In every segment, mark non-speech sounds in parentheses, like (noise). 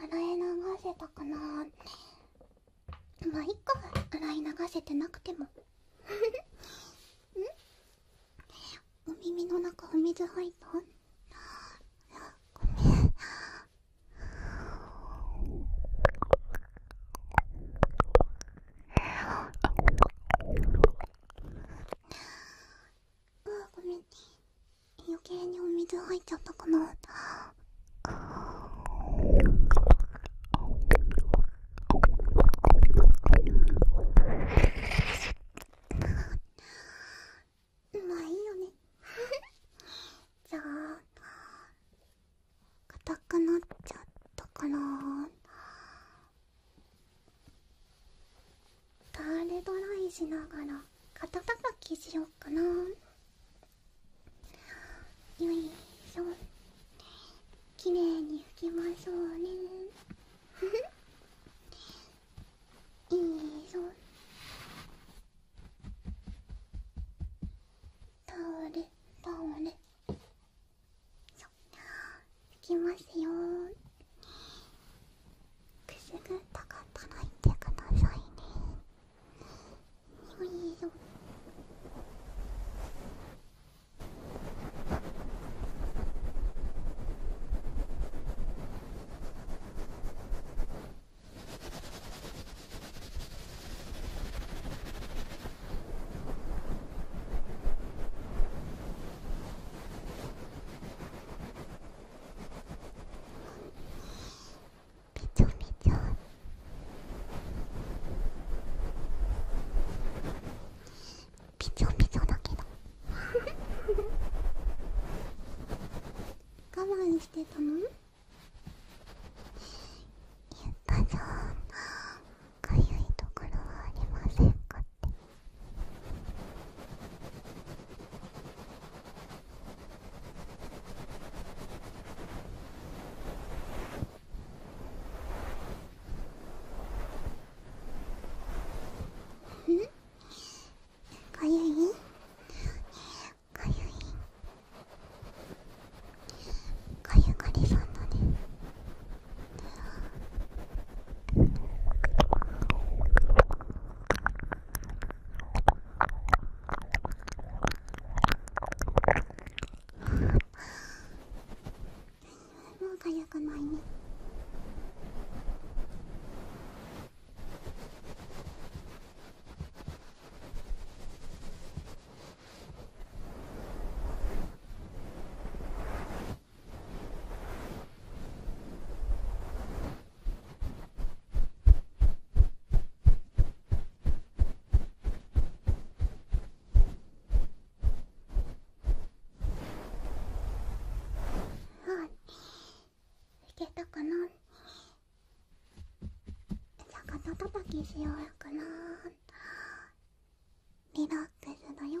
洗い流せたかなまあいっか洗い流せてなくても (laughs) んお耳の中お水入ったごめんあ (laughs) ごめん余計にお水入っちゃったかなあいい (laughs) 硬くなっちゃったかなタールドライしながら肩たたきしよっかなよいしょきれいに拭きましょうね (laughs) いいしタオルタオル拭きますよくすぐったかったら言ってくださいねよいよびちょびちょびちょびちょだけど我慢してたの言ったじゃんかゆいところはありませんからかゆいかゆいかゆがりさんだねもうかゆくないねはいいけたかなじゃあ肩たたきしようやかなリラックスだよ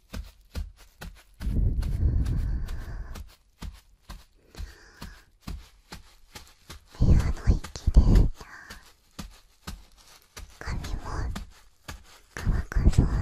部屋の息で髪も乾かそうね。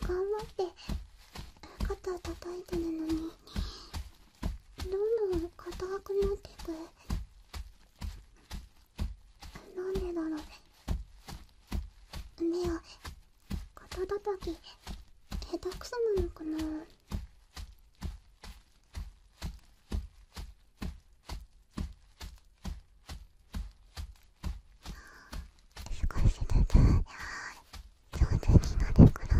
頑張って肩たたいてるのにどんどん硬くなってくなんでだろうねえ肩たたき下手くそなのかな少しずつ上手になれくらい。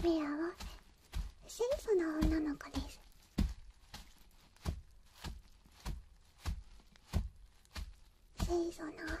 ウェアは清楚な女の子です清楚な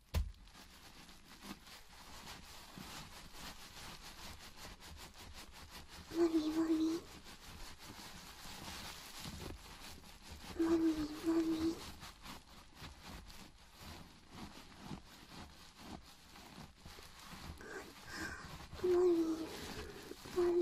もみもみもみもみもみもみもみもみもみ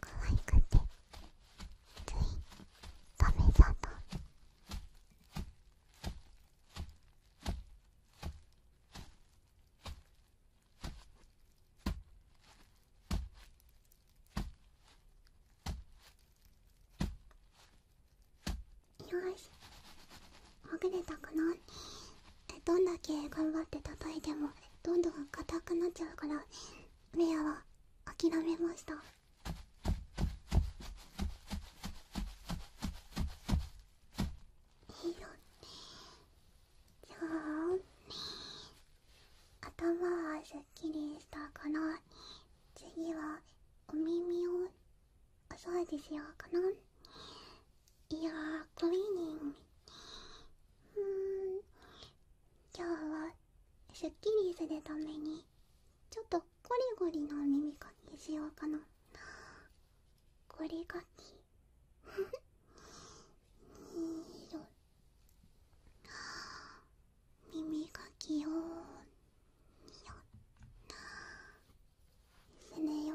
可愛くてつい食べちゃったよしほぐれたくなどんだけ頑張って叩いてもどんどん硬くなっちゃうからレアは諦めましたいいのじゃあ頭はすっきりしたから次はお耳をおう除しようかないやークリーニングうん今日はスッキリするためにちょっとゴリゴリの耳かきしようかなゴリかき (laughs) 耳かきをすねよ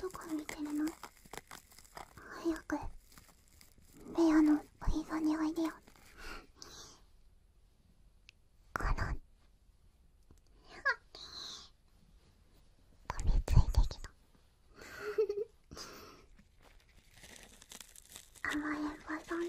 どこ見てるの早くレアのお膝においでよこの飛びついてきた甘えん坊さん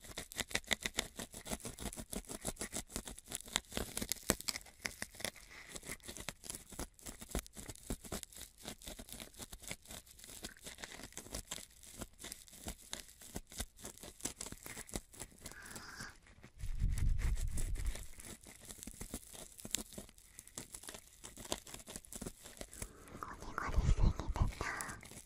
ゴリゴリすぎてた。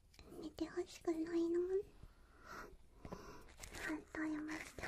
寝てほしくないの反対もしちゃ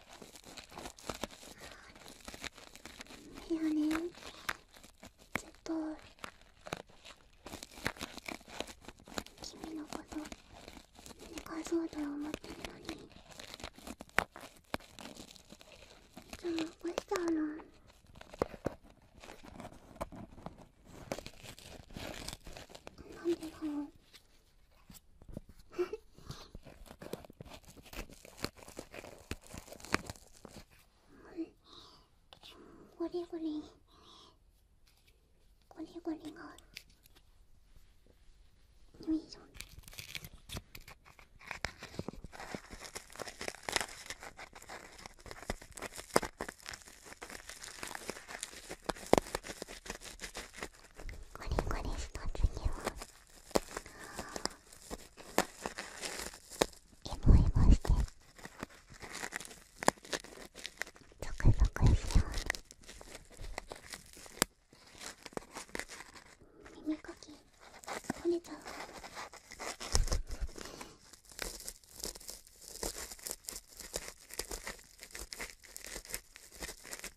だよねずっと君のこと寝かそうと思ってるのにじゃあ起こしちゃうのなんでだろうゴリゴリゴリゴリがよいしょゴリゴリした次は。イボイもしてゾクゾクしてよう耳かき取れちゃう耳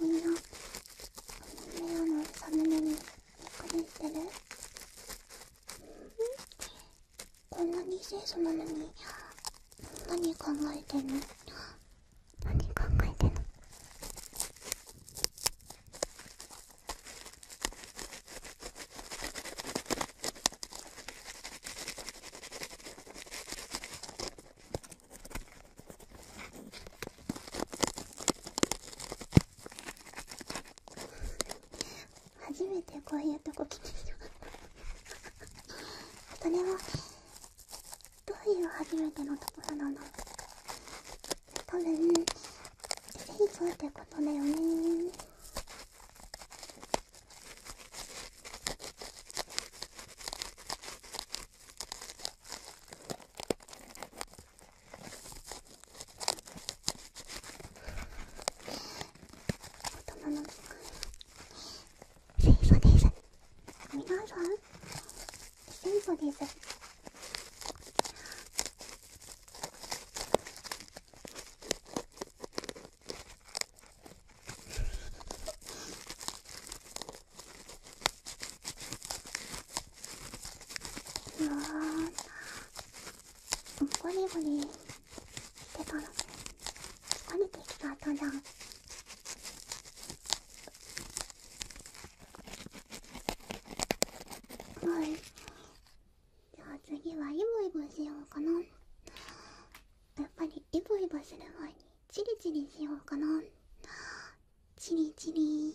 みんなこの目をのサムネにびっくりしてるこんなに清楚なのに何考えてんの何考えてんの初めてこういうとこ来てしまったそれはどういう初めてのところなの多分成長ってことだよね頭の中清楚です皆さん清楚ですふわゴリゴリしてた疲れてきちたじはいじゃあ次はイボイボしようかなやっぱりイボイボする前にチリチリしようかなチリチリ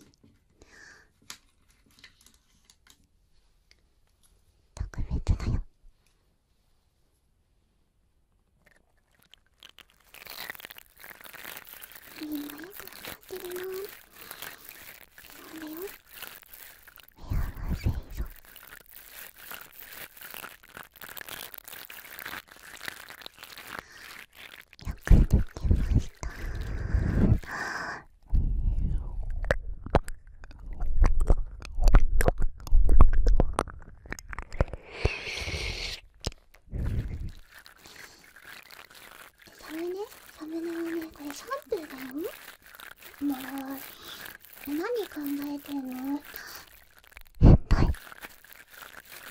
特別だよみんなよくわかってるなそうだよ目合わせいぞよくできましたサムネサムネはねこれシャンプーだよもう何考えてんの変態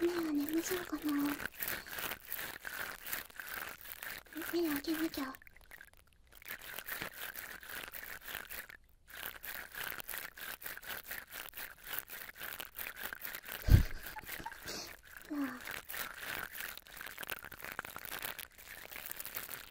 みん眠そうかな目開けなきゃ (laughs)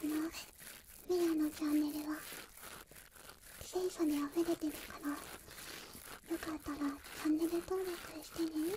このミアのチャンネルは自転にで溢れてるからよかったらチャンネル登録してね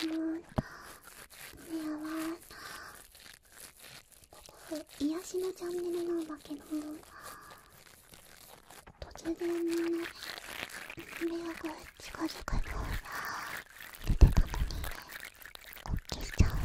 でも、ここ癒しのチャンネルなんだけど突然の目が近づくの出てたのにこっけしちゃうんだ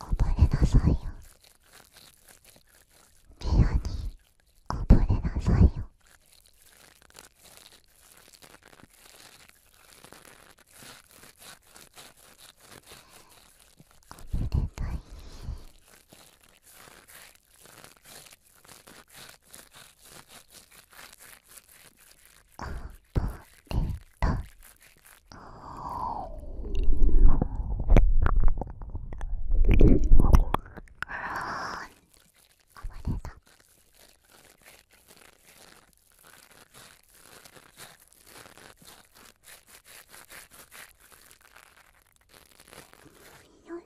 溺れなさいよピアに溺れなさいよ溺れたいアポレタあばれた。よん